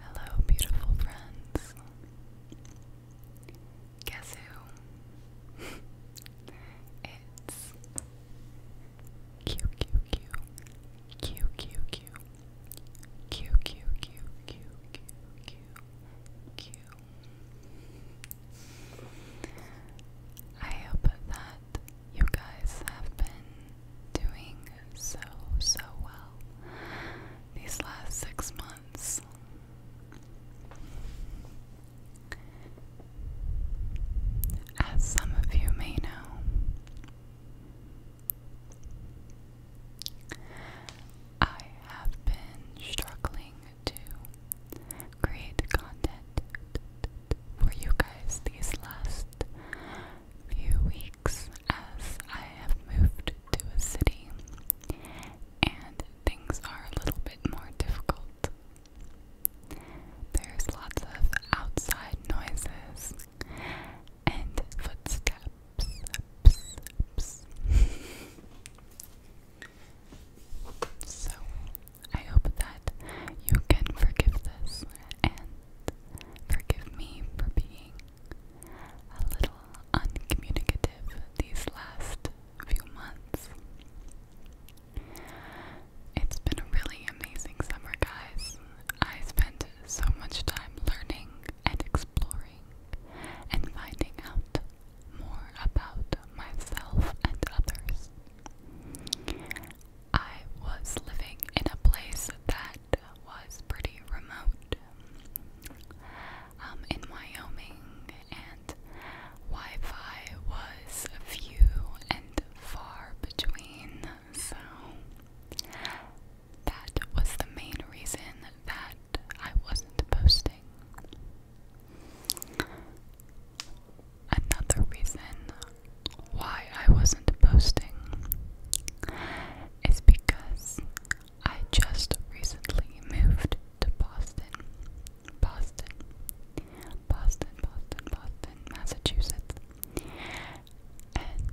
Hello, beautiful friends. Guess who? it's Q Q Q Q Q Q Q Q Q Q Q Q Q. I hope that you guys have been doing so, so well these last six months. As some of you may know, I have been struggling to create content for you guys these last few weeks as I have moved to a city and things are a little bit more difficult. There's lots of outside noises and footsteps. so I hope that you can forgive this and forgive me for being a little uncommunicative these last few months. It's been a really amazing summer, guys. I spent so much time learning and exploring and finding out more about myself and others. I was living in a place that was pretty remote um, in Wyoming, and Wi Fi was few and far between, so that was the main reason that I wasn't posting another reason why I wasn't posting is because I just recently moved to Boston. Boston. Boston, Boston, Boston, Massachusetts. And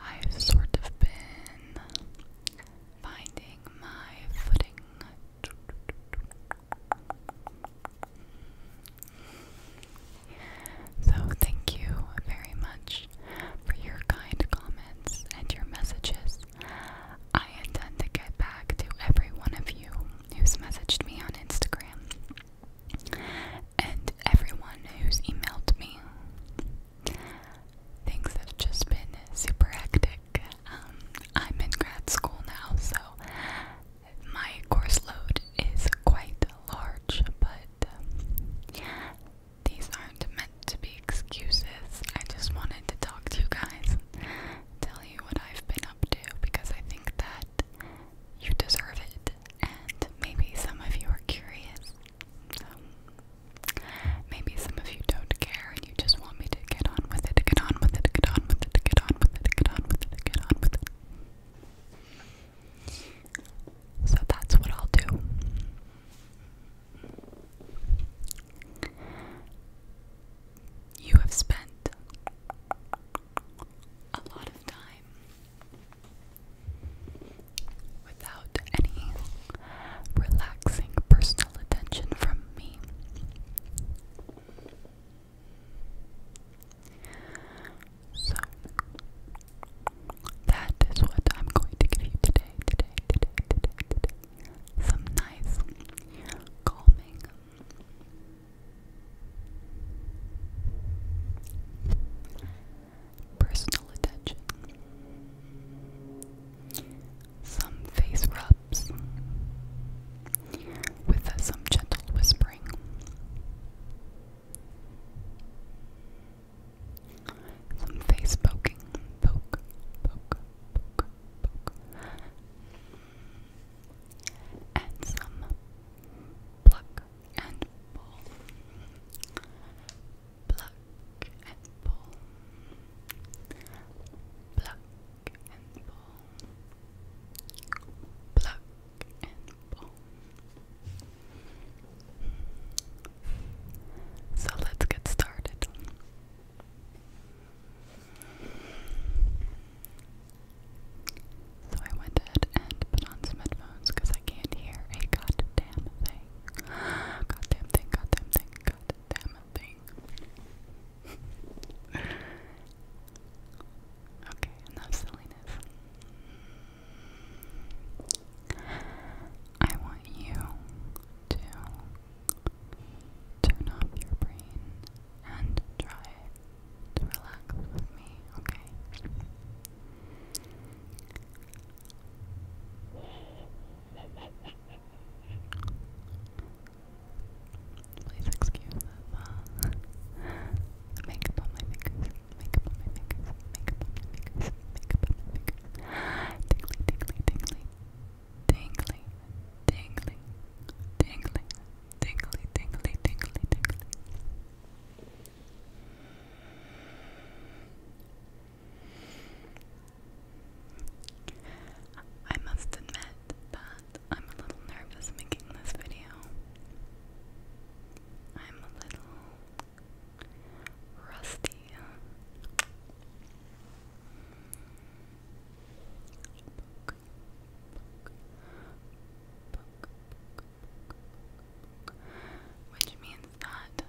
I've sort of been finding my footing so, thank you very much for your kind comments and your messages. I intend to get back to every one of you who's messaged me on Instagram and everyone who's emailed me. Things have just been super hectic. Um, I'm in grad school now, so my course load is quite large, but um, these aren't meant to be excuses. I just wanted to talk to you guys, tell you what I've been up to, because I think that you deserve it, and maybe some of you are curious. Um, maybe some of you don't care and you just want me to get on with it, get on with it, get on with it. So that's what I'll do. You have spent a lot of time without any relaxing personal attention from me. So that is what I'm going to give you today, today, today, today, today. Some nice calming personal attention. Some face rub with some gentle whispering. Some face poking. Poke, poke, poke, poke. And some pluck and pull. Pluck and pull. Pluck so let's get started. So I went and put on headphones because I can't hear a goddamn thing. Goddamn thing, goddamn thing, goddamn thing. okay, enough silliness. I want you to turn off your brain and try to relax with me, okay? Please excuse that. Uh, makeup on my fingers. Makeup on my fingers. Makeup on my fingers. Makeup on my fingers. Tingly, tingly, tingly. Tingly, tingly, tingly, tingly, tingly, tingly, tingly. I must admit that I'm a little nervous making this video. I'm a little rusty. which means that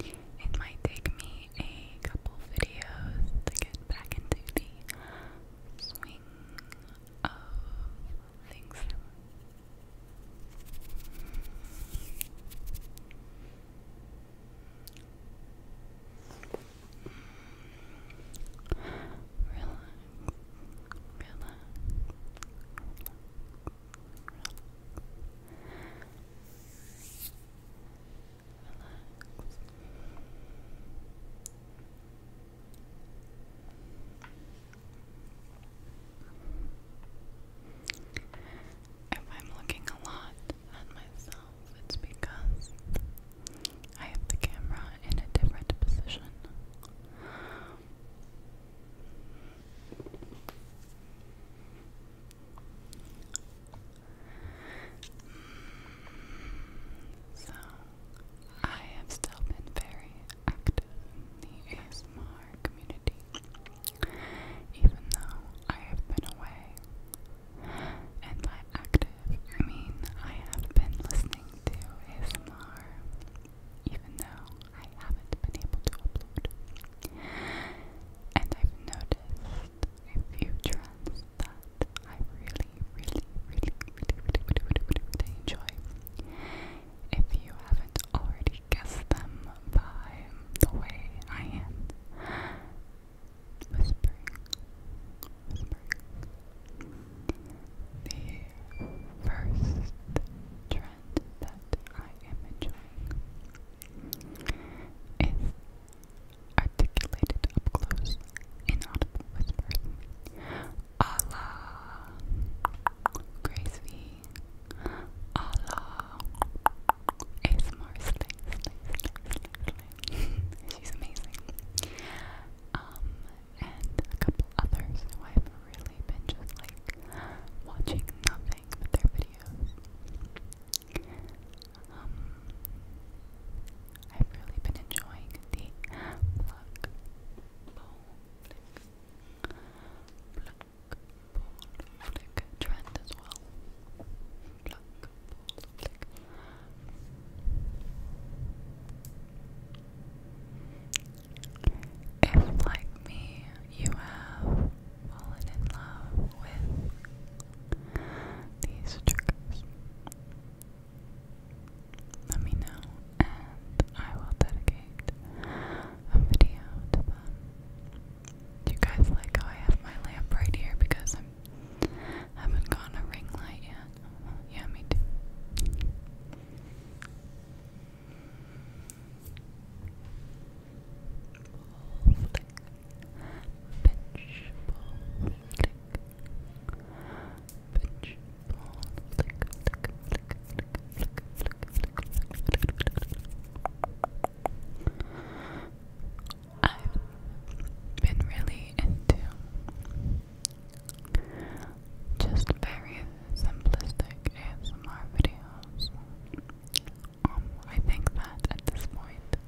it might take me a couple videos to get back into the swing of things. Relax, relax, relax, relax. If I'm looking a lot at myself, it's because I have the camera in a different position. So, I have still been very active in the ASMR community, even though I have been away. And by active, I mean I have been listening to ASMR, even though I haven't been able to upload. And I've noticed if you trends that I really, really, really, really, really, really, really, really, really enjoy. If you haven't already guessed them by the way I am whispering, whispering, the first trend that I am enjoying is articulated up close, inaudible whispers. Allah, Grace Allah, ASMR She's amazing. Um, and a couple others I've really been just like watching nothing but their videos. I've really been enjoying the pluck trend as well. If, like me, you have fallen in love with these triggers. Let me know, and I will dedicate a video to them. Do you guys like how I have my lamp right here because I'm haven't gotten a ring light yet? Yeah, me too click, pinch, I've been really into just very simplistic ASMR videos. Um, I think that at this point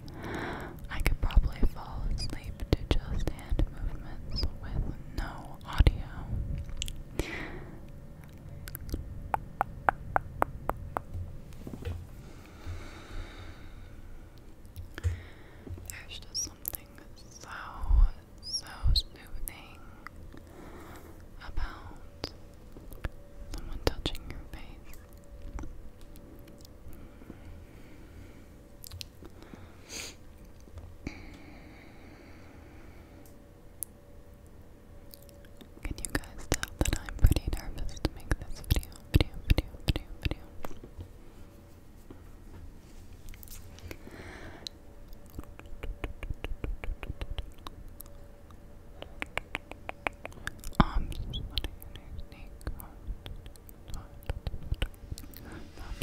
I could probably fall asleep to just hand movements with no audio. There's just something so, so soothing about someone touching your face can you guys tell that I'm pretty nervous to make this video, I'm arms, splitting a new snake, arms, a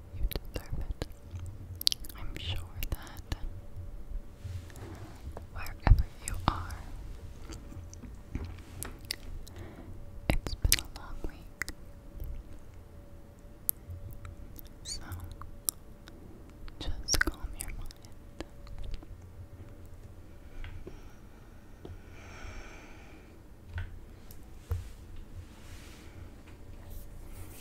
You deserve it. I'm sure that wherever you are, it's been a long week. So, just calm your mind let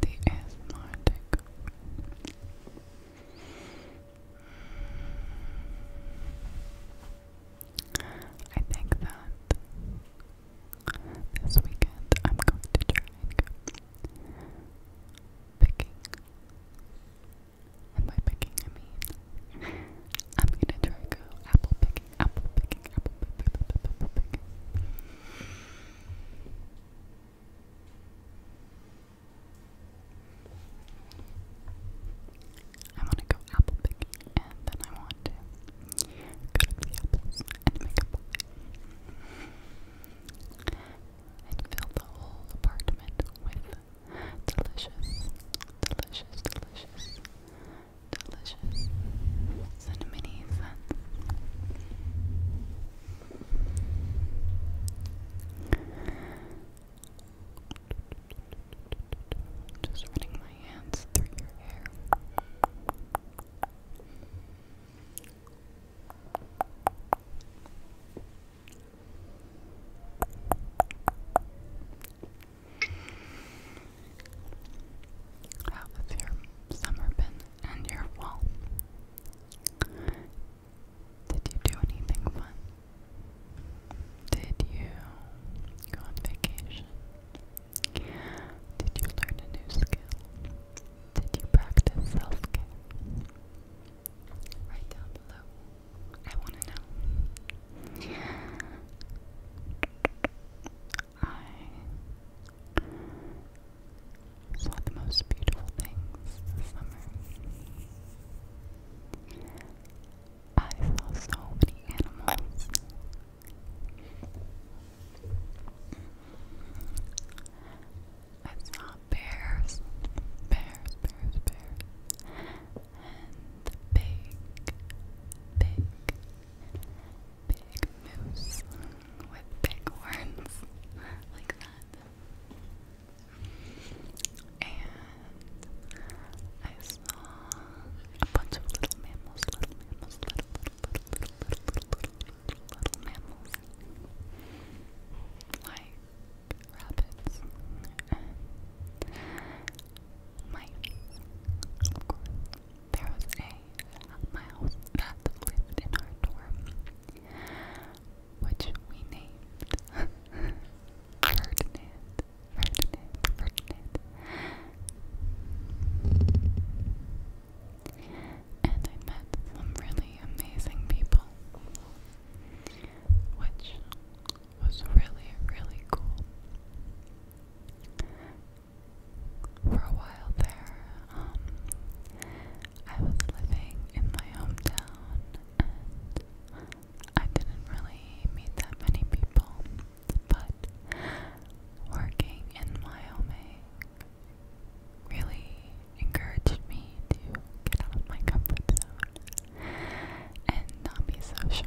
the ASMR I think that this weekend I'm going to try picking. And by picking I mean I'm gonna try go apple picking apple picking, apple picking, I want to go apple picking and then I want to cut up the apples and make a pie. And fill the whole apartment with delicious, delicious, delicious delicious. So many fun. Just running my hands through your hair. How has your summer been and your fall? Did you do anything fun? Did you go on vacation? Did you learn a new skill? Did you practice self care? Write down below. I want to know. I saw the most beautiful things summer. I saw so many animals. I saw bears, bears, bears, bears and the big, big, big moose with big horns like that. And I saw a bunch of little mammals, little mammals, little, little, little, little, little, little, little, mammals. Like rabbits of course there was a mouse that lived in our dorm which we named Ferdinand Ferdinand Ferdinand and I met some really amazing people which was really, really cool. For a while there, um, I was living in my hometown I didn't really meet that many people, but working in Wyoming really encouraged me to get out of my comfort zone and not be so shy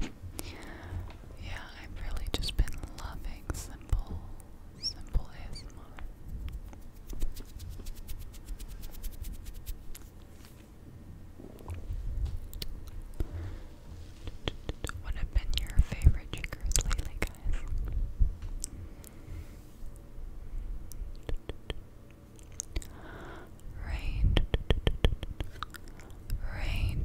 yeah, I've really just been loving simple, simple ASMR. What have been your favorite triggers lately, guys? Rain, rain,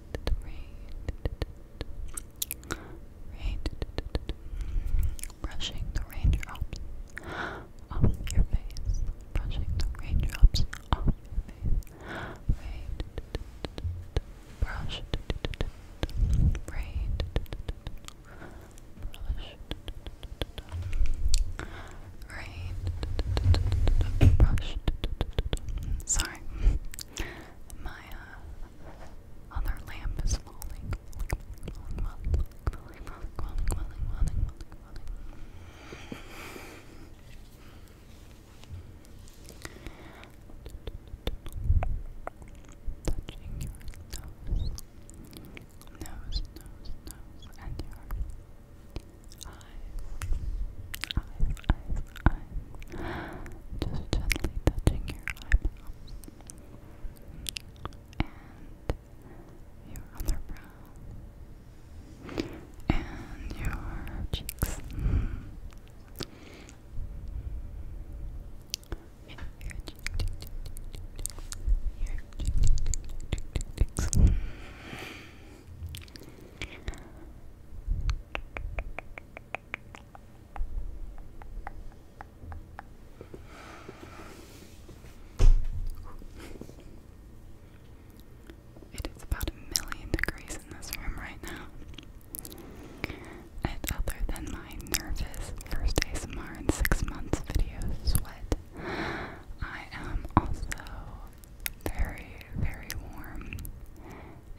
rain, brushing the raindrops off your face, brushing the raindrops off your face, brush, brush. brush. So sorry. My uh, other lamp is falling. falling, falling, falling, falling, falling, falling, falling, falling. Touching your nose, nose, nose, nose, and your eyes, eyes, eyes, just gently touching your eyebrows and your other brow and your cheeks. Mm. Your cheeks. Your cheeks. Your cheeks. It is about a million degrees in this room right now. And other than my nervous first ASMR in six months video sweat, I am also very, very warm.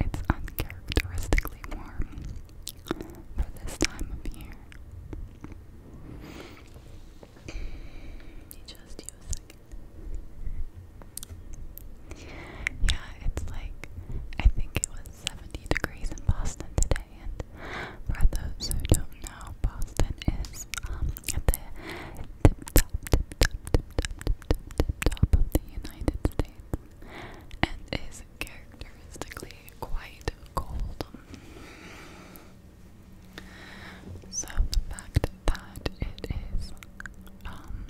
It's uncharacteristically warm for this time of year. just a second. Yeah, it's like I think it was 70 degrees in Boston today, and for those who don't know, Boston is um at the tip top, tip top, tip top, of the United States and is characteristically quite cold. So the fact that it is um,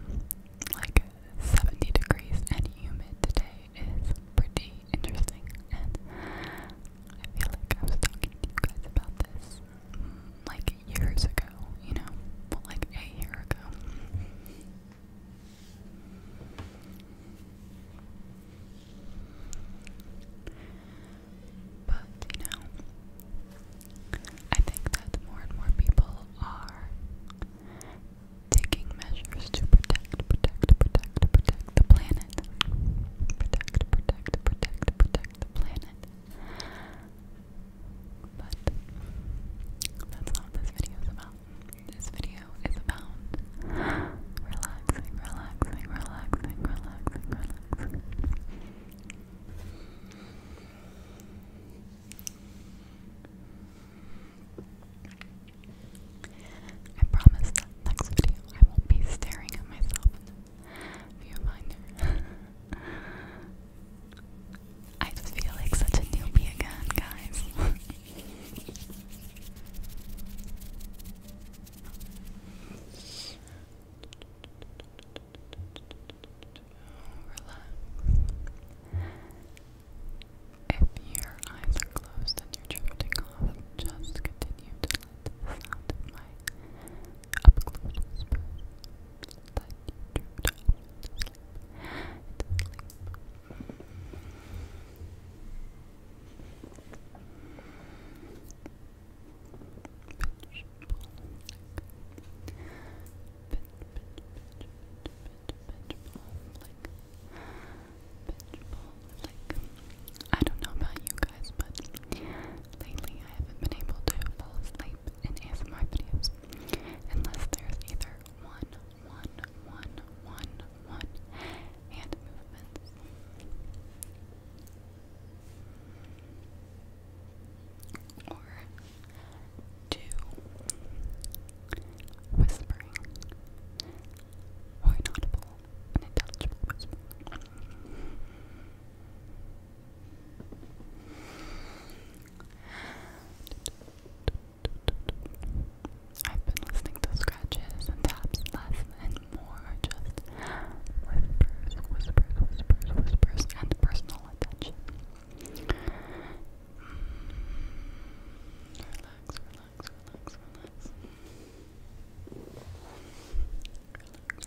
like 70 degrees and humid today is pretty interesting and I feel like I was talking to you guys about this like years ago, you know? Well, like a year ago. But, you know, I think that more and more people are taking measures to protect, protect, protect, protect the planet. Protect, protect, protect, protect the planet. But that's not this video is about. This video is about relaxing, relaxing, relaxing, relaxing, relaxing. I promise that next video I won't be staring at myself in viewfinder. I just feel like such a newbie again, guys. If your eyes are closed and you're drifting off, just continue to let the sound of my up you I don't know about you guys, but Lately, I haven't been able to fall asleep in ASMR videos unless there's either one, one, one, one, one hand movements. Or two whispering or inaudible, unintelligible whispering. I've been listening to scratches and taps less and more, just whispers, whispers, whispers, whispers, and personal attention. Relax, relax, relax, relax. Relax,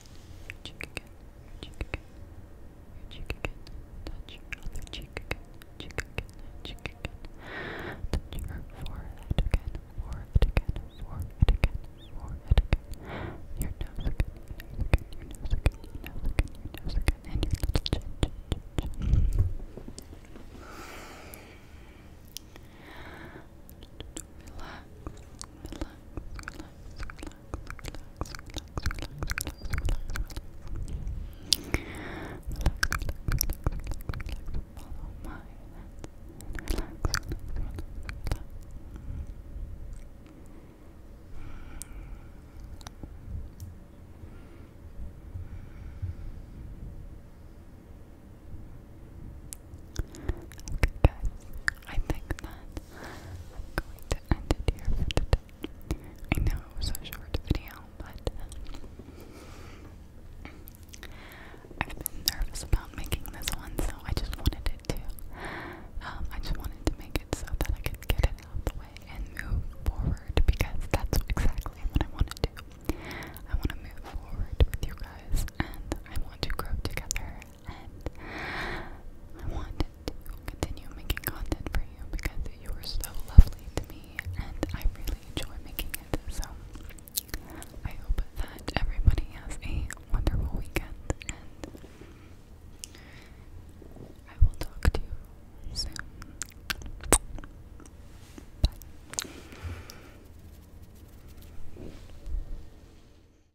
your cheek again, your cheek again, your cheek again, touch your other cheek again, cheek again, cheek again, touch your forehead again, forehead again, forehead again, forehead again, your nose again, your nose again, your nose again, your nose again, your nose again, and your little chin, chin, chin, chin. Relax, Okay guys, I think that i know it was a short video, but um, I've been nervous about making this one, so I just wanted it to. Um, I just wanted to make it so that I could get it out the way and move forward because that's exactly what I want to do. I want to move forward with you guys and I want to grow together and I wanted to continue making content for you because you were so lovely to me and I really enjoy making it. So I hope that everybody has a wonderful weekend and I will talk to you soon. Bye.